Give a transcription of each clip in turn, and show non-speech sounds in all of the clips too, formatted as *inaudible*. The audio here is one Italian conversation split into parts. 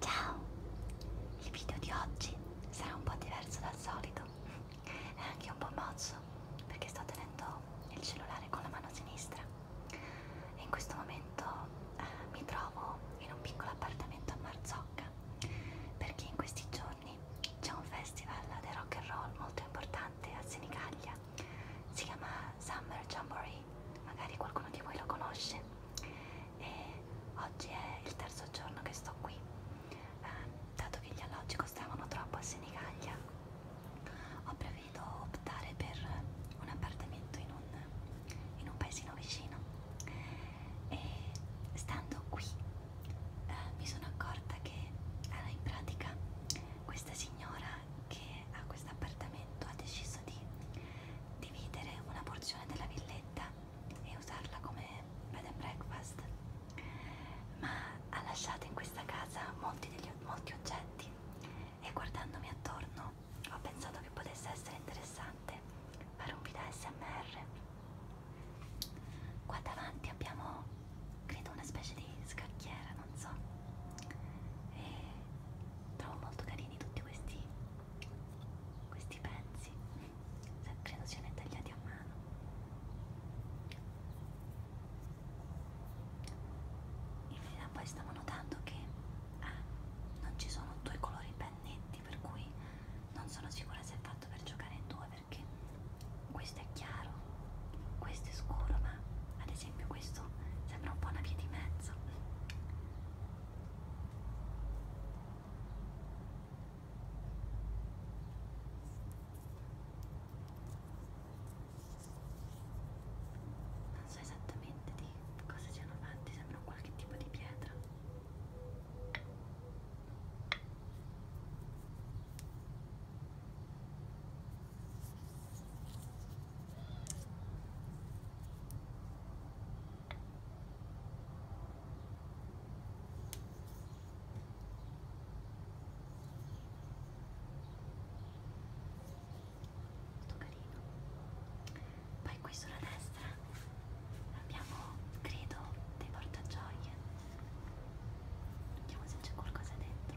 Ciao! Il video di oggi sarà un po' diverso dal solito, è anche un po' mozzo perché sto tenendo il cellulare con la mano sinistra e in questo momento eh, mi trovo in un piccolo appartamento a Marzocca perché in questi giorni c'è un festival del rock and roll molto importante a Senigallia si chiama Summer Jamboree, magari qualcuno di voi lo conosce e oggi è il terzo giorno che sto qui, eh, dato che gli alloggi costavano troppo a Senigallia ho previsto optare per un appartamento in un, in un paesino vicino e stando qui eh, mi sono accorta che eh, in pratica questa signora che a questo appartamento ha deciso di dividere una porzione della villetta e usarla come bed and breakfast, ma ha lasciato in questa casa molti, degli, molti oggetti e guardandomi attorno ho pensato che potesse essere interessante fare un video SMR. Qua davanti abbiamo credo una specie di scacchiera non so e trovo molto carini tutti questi questi pezzi credo siano tagliati a mano in realtà poi stavo notando che ah, non ci sono due colori pennetti per cui non sono sicura se è fatto per giocare in due perché questo è chiaro questo è scuro ma ad esempio questo sembra un po' una via di mezzo non so esattamente di cosa siano fatti, sembra un qualche tipo di pietra molto carino poi qui sulla destra abbiamo credo dei portagioie vediamo se c'è qualcosa dentro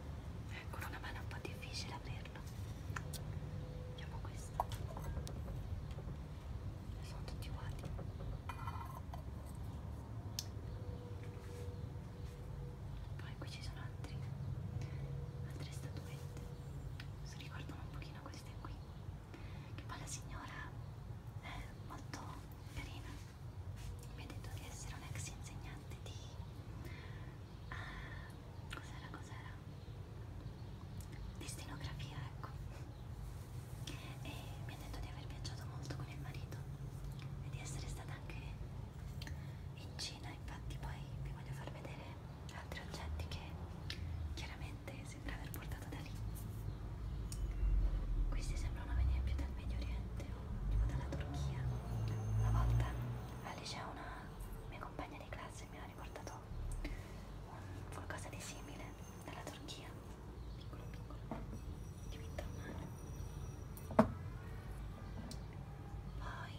con ecco, una mano è un po' difficile aprirlo facciamo questo sono tutti uguali poi qui ci sono altri altre statuette si ricordano un pochino queste qui che poi la signora è molto carina mi ha detto di essere un ex insegnante di... Uh, cos'era, cos'era? Di stenografia, ecco. E mi ha detto di aver viaggiato molto con il marito e di essere stata anche in Cina, infatti poi vi voglio far vedere altri oggetti che chiaramente sembra aver portato da lì. Questi sembrano venire più dal Medio Oriente Tipo dalla Turchia. Una volta al liceo una mia compagna di classe mi ha riportato un qualcosa di simile dalla Turchia. Piccolo piccolo. Dipinto male. Poi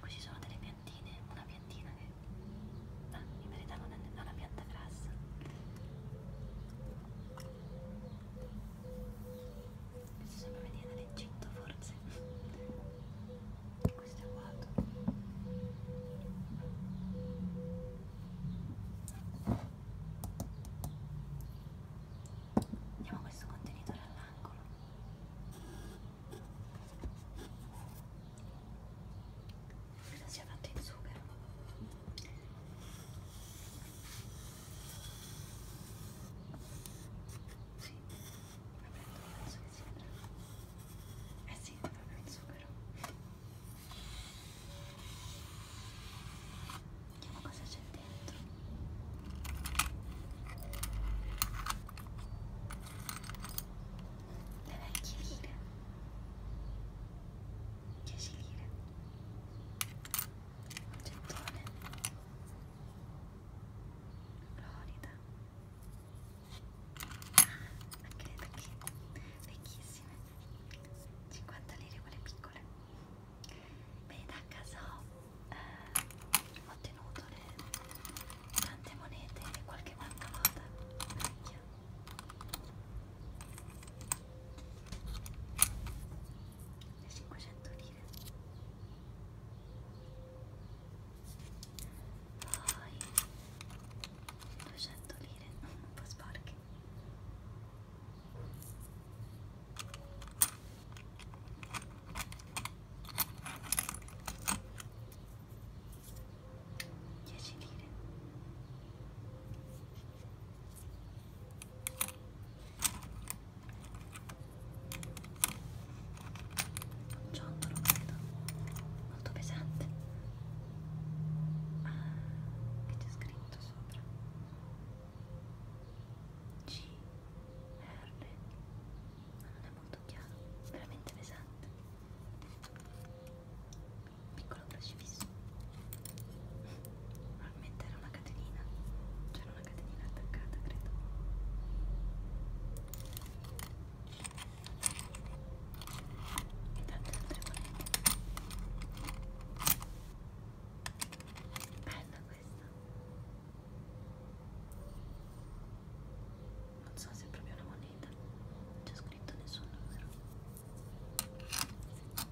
qui ci sono delle piantine, una piantina che ah, in verità non è una pianta grassa questo sembra venire dall'Egitto forse questo è vuoto andiamo a questo contenitore all'angolo credo sia fatto in zucchero sì, vabbè, tu penso che sia Eh sì, proprio il zucchero. Vediamo cosa c'è dentro. Le vecchie lire. 10 lire gettone Florida ah, anche le tacchette vecchissime 50 lire quelle piccole vedete a casa eh, ho tenuto le tante monete e qualche banconota vecchia le 500 lire poi 200 lire *laughs* un po' sporche Dieci lire ciondolo credo molto pesante ah, che c'è scritto sopra C R ma non è molto chiaro veramente pesante piccolo crocifisso Normalmente era una catenina, c'era una catenina attaccata, credo. E tante altre monete. Bella questa. Non so se è proprio una moneta, non c'è scritto nessun numero.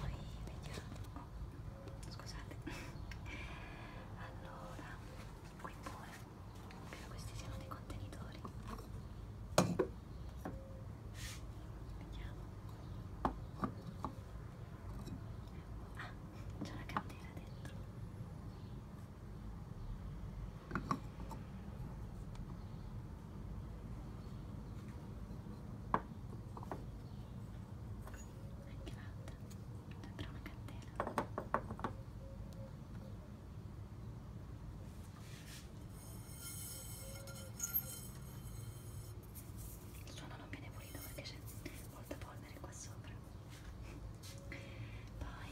poi vediamo oh, scusate allora qui pure credo questi siano dei contenitori vediamo ah c'è una candela dentro anche l'altra sembra una candela il suono non viene pulito perché c'è molta polvere qua sopra poi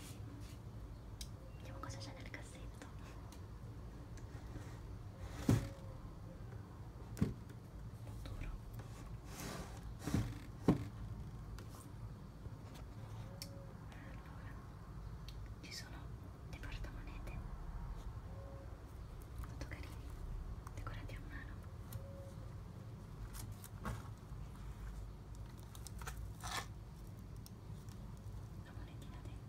vediamo cosa c'è nel cassetto allora ci sono dei portamonete molto carini decorati a mano la monetina dentro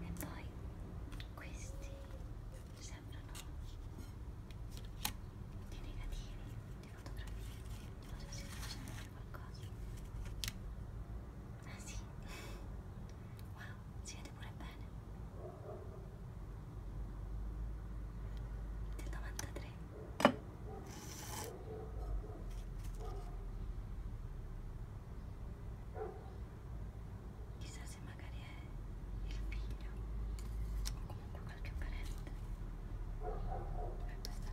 e poi questi sembrano dei negativi, quindi fotografie non so se faccio vedere qualcosa ah sì wow si vede pure bene del 93 chissà se magari è il figlio o comunque qualche parente e questa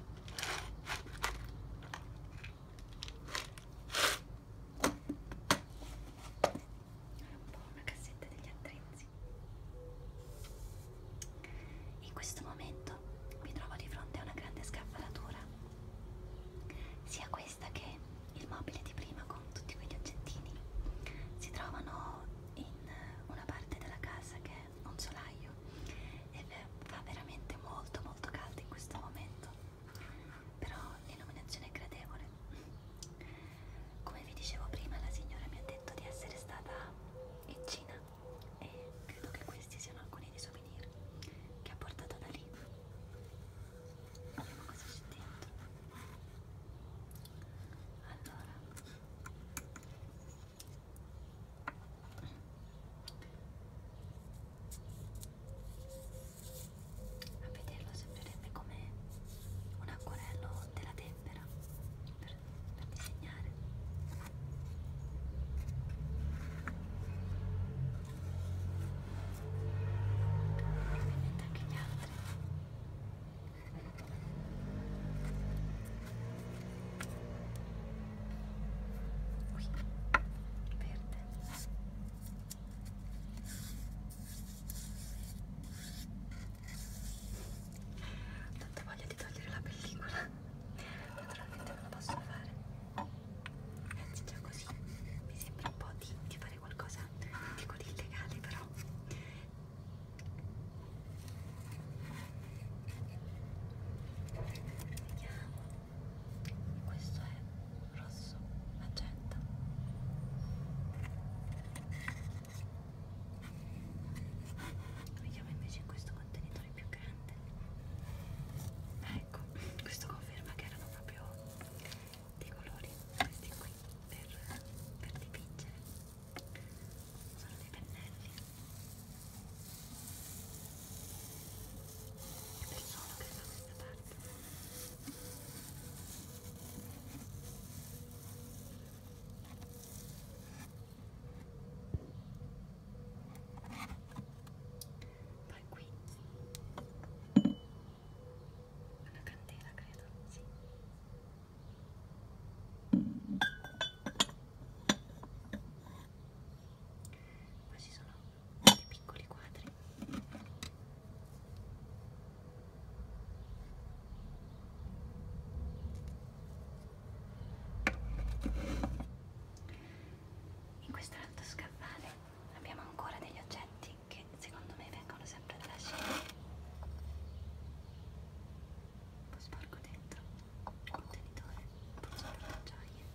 un po' una cassetta degli attrezzi in questo momento mi trovo di fronte a una grande scaffalatura sia questa che il mobile di prima con tutti quegli oggettini si trovano in una parte della casa che un solaio e eh, fa veramente molto molto caldo in questo momento però l'illuminazione è gradevole come vi dicevo prima la signora mi ha detto di essere stata in Cina e credo che questi siano alcuni dei souvenir che ha portato da lì vediamo cosa c'è dentro allora a vederlo sembrerebbe come un acquerello della tempera per, per disegnare. E ovviamente anche gli altri qui verde tanta voglia di togliere la pellicola naturalmente non la posso fare anzi già così mi sembra un po' di, di fare qualcosa dico di illegale però Vediamo. Questo è rosso magenta. Vediamo invece questo contenitore più grande. Ecco, questo conferma che erano proprio dei colori questi qui per, per dipingere sono dei pennelli e per solo che fa questa parte poi qui una candela credo, sì poi ci sono dei piccoli quadri in questo alto scaffale abbiamo ancora degli oggetti che secondo me vengono sempre dalla scena poi sporco dentro il contenitore brucio le acciaie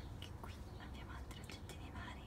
anche qui abbiamo altri oggettini vari.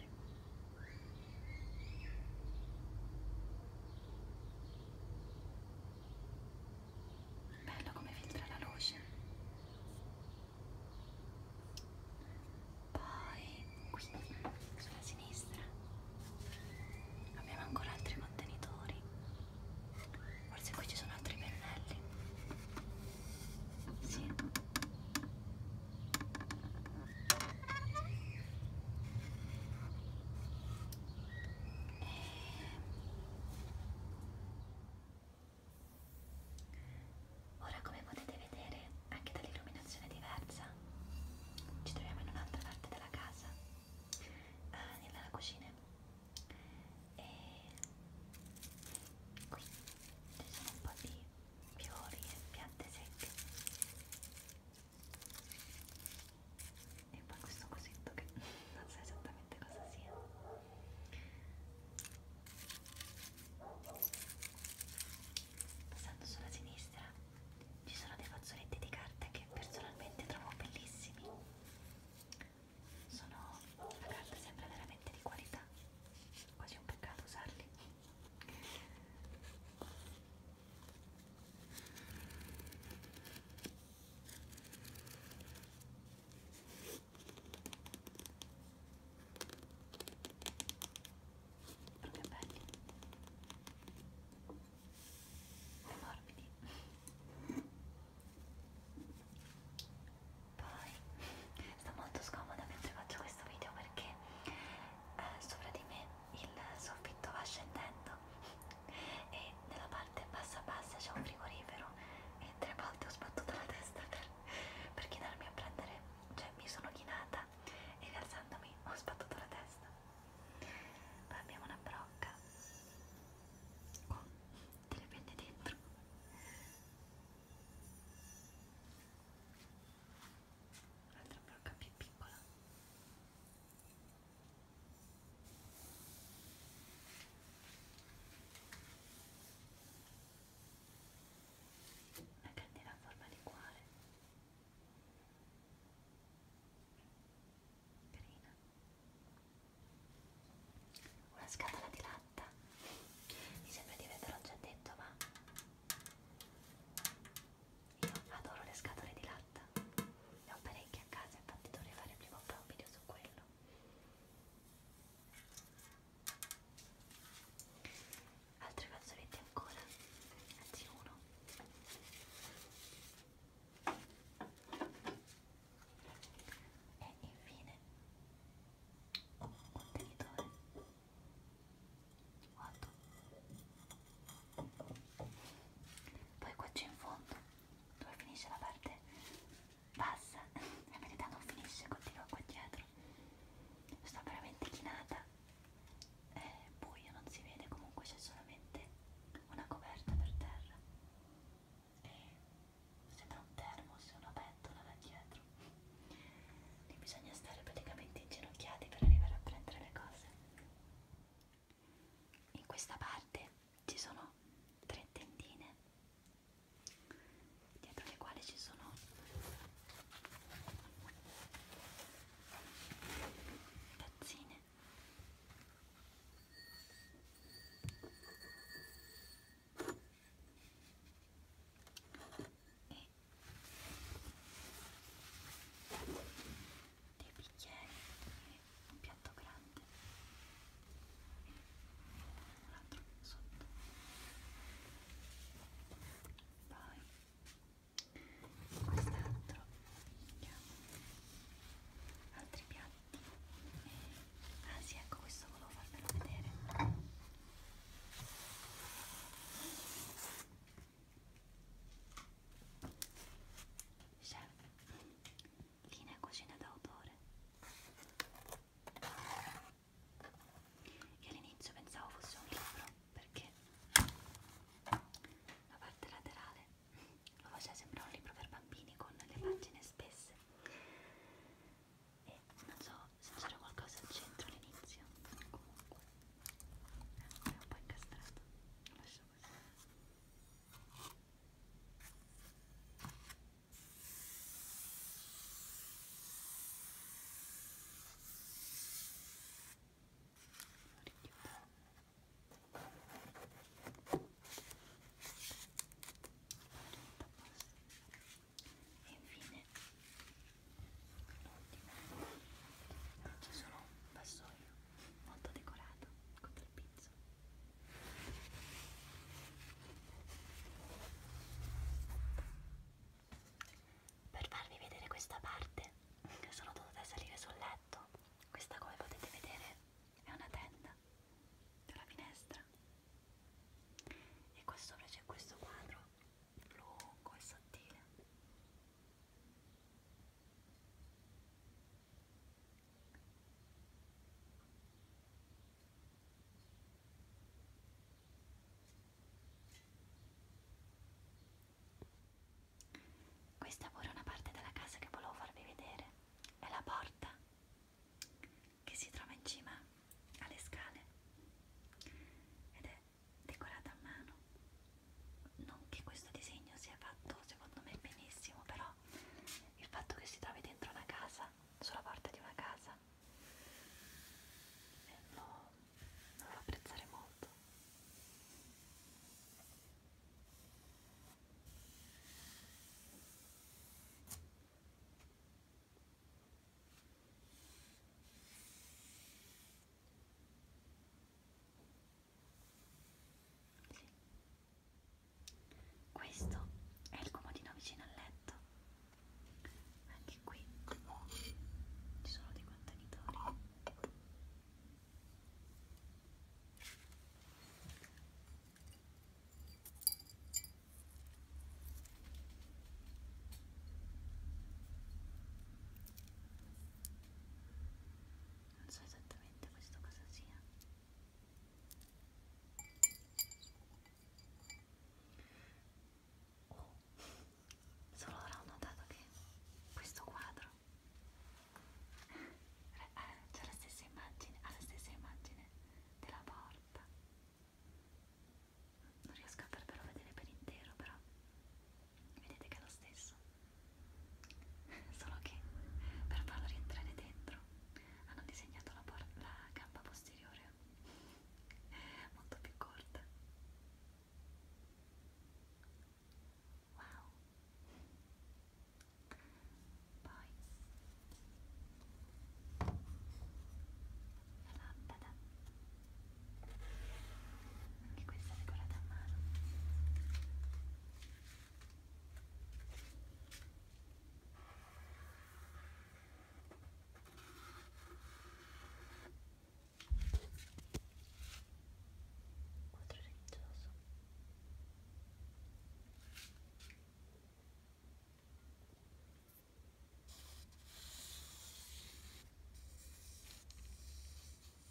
dolore. Bello come filtra la luce. Poi qui sulla sinistra abbiamo ancora altri contenitori. Forse qui ci sono altri pennelli. Sì. Ora come potete vedere anche dall'illuminazione diversa ci troviamo in un'altra parte della casa, ah, nella cucina e qui ci sono un po' di fiori e piante secche e poi questo cosetto che *laughs* non so esattamente cosa sia passando sulla sinistra ci sono dei fazzoletti di carta che personalmente trovo bellissimi sono la carta sembra veramente veramente di qualità quasi un peccato usarli però che belli e morbidi poi sto molto scomoda mentre faccio questo video perché eh, sopra di me il soffitto va scendendo e nella parte bassa bassa c'è un frigorifero e tre volte ho sbattuto la testa per, per chinarmi a prendere cioè mi sono chinata e rialzandomi ho sbattuto la testa poi abbiamo una brocca con delle penne dentro un'altra brocca più piccola una candela a forma di cuore carina una scatola di latte fatta mi sembra di averlo già detto ma io adoro le scatole di latta ne ho parecchie a casa infatti dovrei fare prima o poi un video su quello altri fazzoletti ancora anzi uno e infine contenitore 8 poi qua c'è in fondo dove finisce la parte bassa in *laughs* verità non finisce continua qua dietro sto veramente chinata è buio non si vede comunque c'è solamente una coperta per terra e sembra un termos, una pentola da dietro lì bisogna stare praticamente inginocchiati per arrivare a prendere le cose in questa parte ci sono tre tendine dietro le quali ci sono tazzine e dei bicchieri e un piatto grande e un altro sotto poi quest'altro altri piatti e, eh, ah sì ecco questo volevo farvelo vedere Chef, linea cucina d'autore. Io all'inizio pensavo fosse un libro perché la parte laterale lo faceva sembrare un libro per bambini con le pagine spesse e eh, non so se c'era qualcosa al centro all'inizio comunque è un po' incastrato lo lascio così lo richiudo e infine l'ultimo ci sono un vassoio molto decorato con del pizzo per farvi vedere questa parte sono dovuta salire sul letto questa come potete vedere è una tenda dalla finestra e qua sopra c'è questo quadro lungo e sottile questa pure è una parte della casa che volevo farvi vedere è la porta che si trova in cima alle scale ed è decorata a mano. Non che questo disegno sia fatto secondo me benissimo, però il fatto che si trovi dentro una casa, sulla porta di una casa, eh, lo, non lo apprezzare molto. Sì. Questo è il comodino vicino al letto. Anche qui ci sono dei contenitori non so esattamente questo cosa sia oh. solo ora ho notato che questo quadro c'è *laughs* la stessa immagine ha la stessa immagine della porta non riesco a farvelo vedere per intero però vedete che è lo stesso *laughs* solo che per farlo rientrare dentro hanno disegnato la, la gamba posteriore *laughs* molto più corta wow poi la lampada anche questa è decorata a mano quadro religioso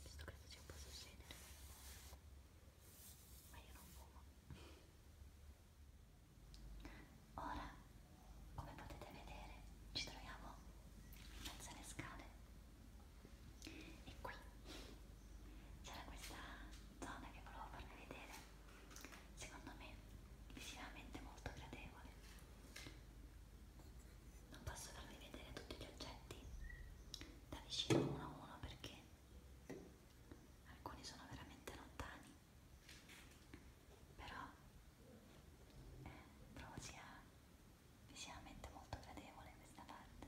questo credo ci può succedere, ma io non fumo. Ora, come potete vedere, ci troviamo in mezzo alle scale e qui c'era questa zona che volevo farvi vedere secondo me visivamente molto gradevole non posso farvi vedere tutti gli oggetti da vicino uno a uno perché alcuni sono veramente lontani però eh, trovo sia visivamente molto gradevole questa parte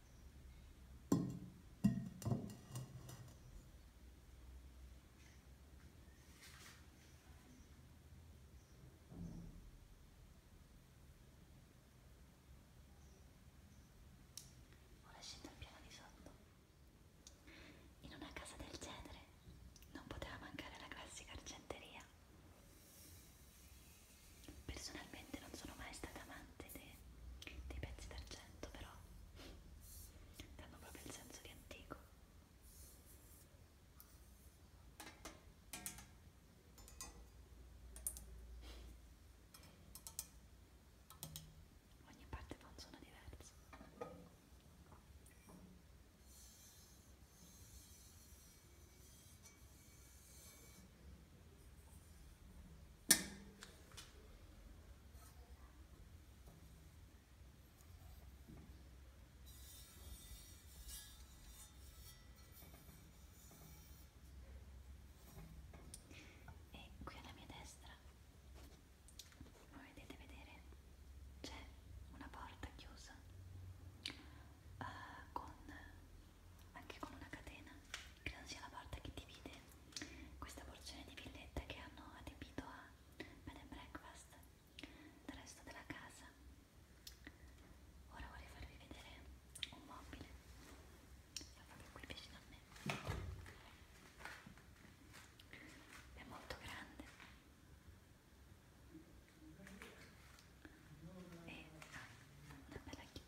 Ora scendo al piano di sotto. In una casa del genere non poteva mancare la classica argenteria. Personalmente non sono mai stata amante dei, dei pezzi d'argento, però danno proprio il senso di antico. Ogni parte fa un suono diverso. E qui alla mia destra, come vedete vedere, c'è una porta chiusa eh, con, anche con una catena, credo sia la parte che divide questa porzione di villetta che hanno adibito a bed and breakfast del resto della casa. Ora vorrei farvi vedere un mobile, sta proprio qui vicino a me. È molto grande e ha una bella chiave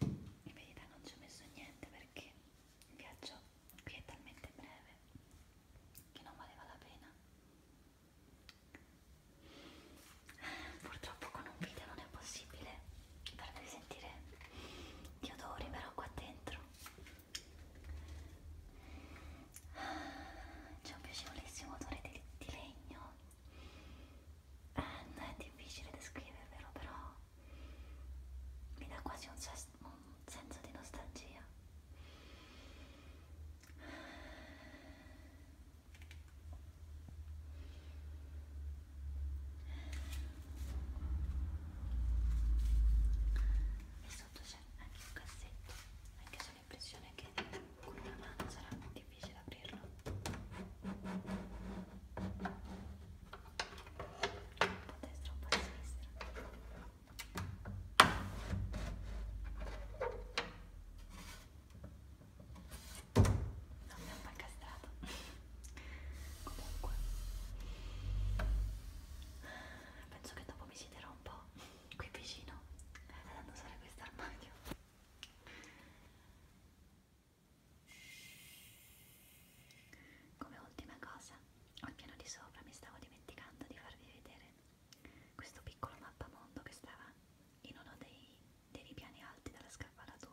in verità non ci ho messo niente perché il viaggio qui è talmente breve che non valeva la pena purtroppo con un video non è possibile farvi sentire gli odori però qua dentro c'è un piacevolissimo odore di, di legno eh, è difficile descrivervelo però mi dà quasi un, ses un senso di nostalgia e sotto c'è anche un cassetto anche se l'impressione che con una mano sarà difficile aprirlo un po' a destra, un po' a sinistra non mi ha mai castrato comunque penso che dopo mi siederò un po' qui vicino andando eh, a usare questo armadio come ultima cosa al piano di sopra mi stavo dimenticando di farvi vedere questo piccolo mappamondo che stava in uno dei, dei piani alti della scappalatura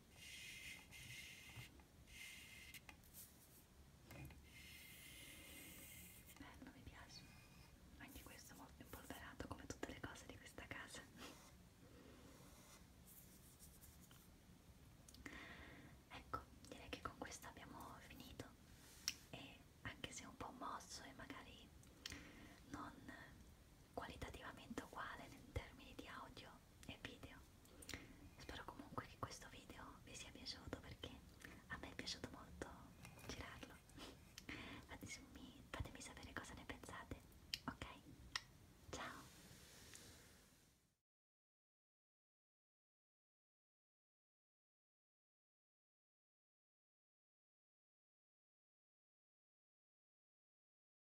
Bello, eh, mi piace. Anche questo è molto impolverato come tutte le cose di questa casa. ecco, direi che con questo abbiamo finito e anche se un po' mosso e magari non qualitativamente uguale in termini di audio e video spero comunque che questo video vi sia piaciuto perché a me è piaciuto molto girarlo *laughs* fatemi, fatemi sapere cosa ne pensate ok ciao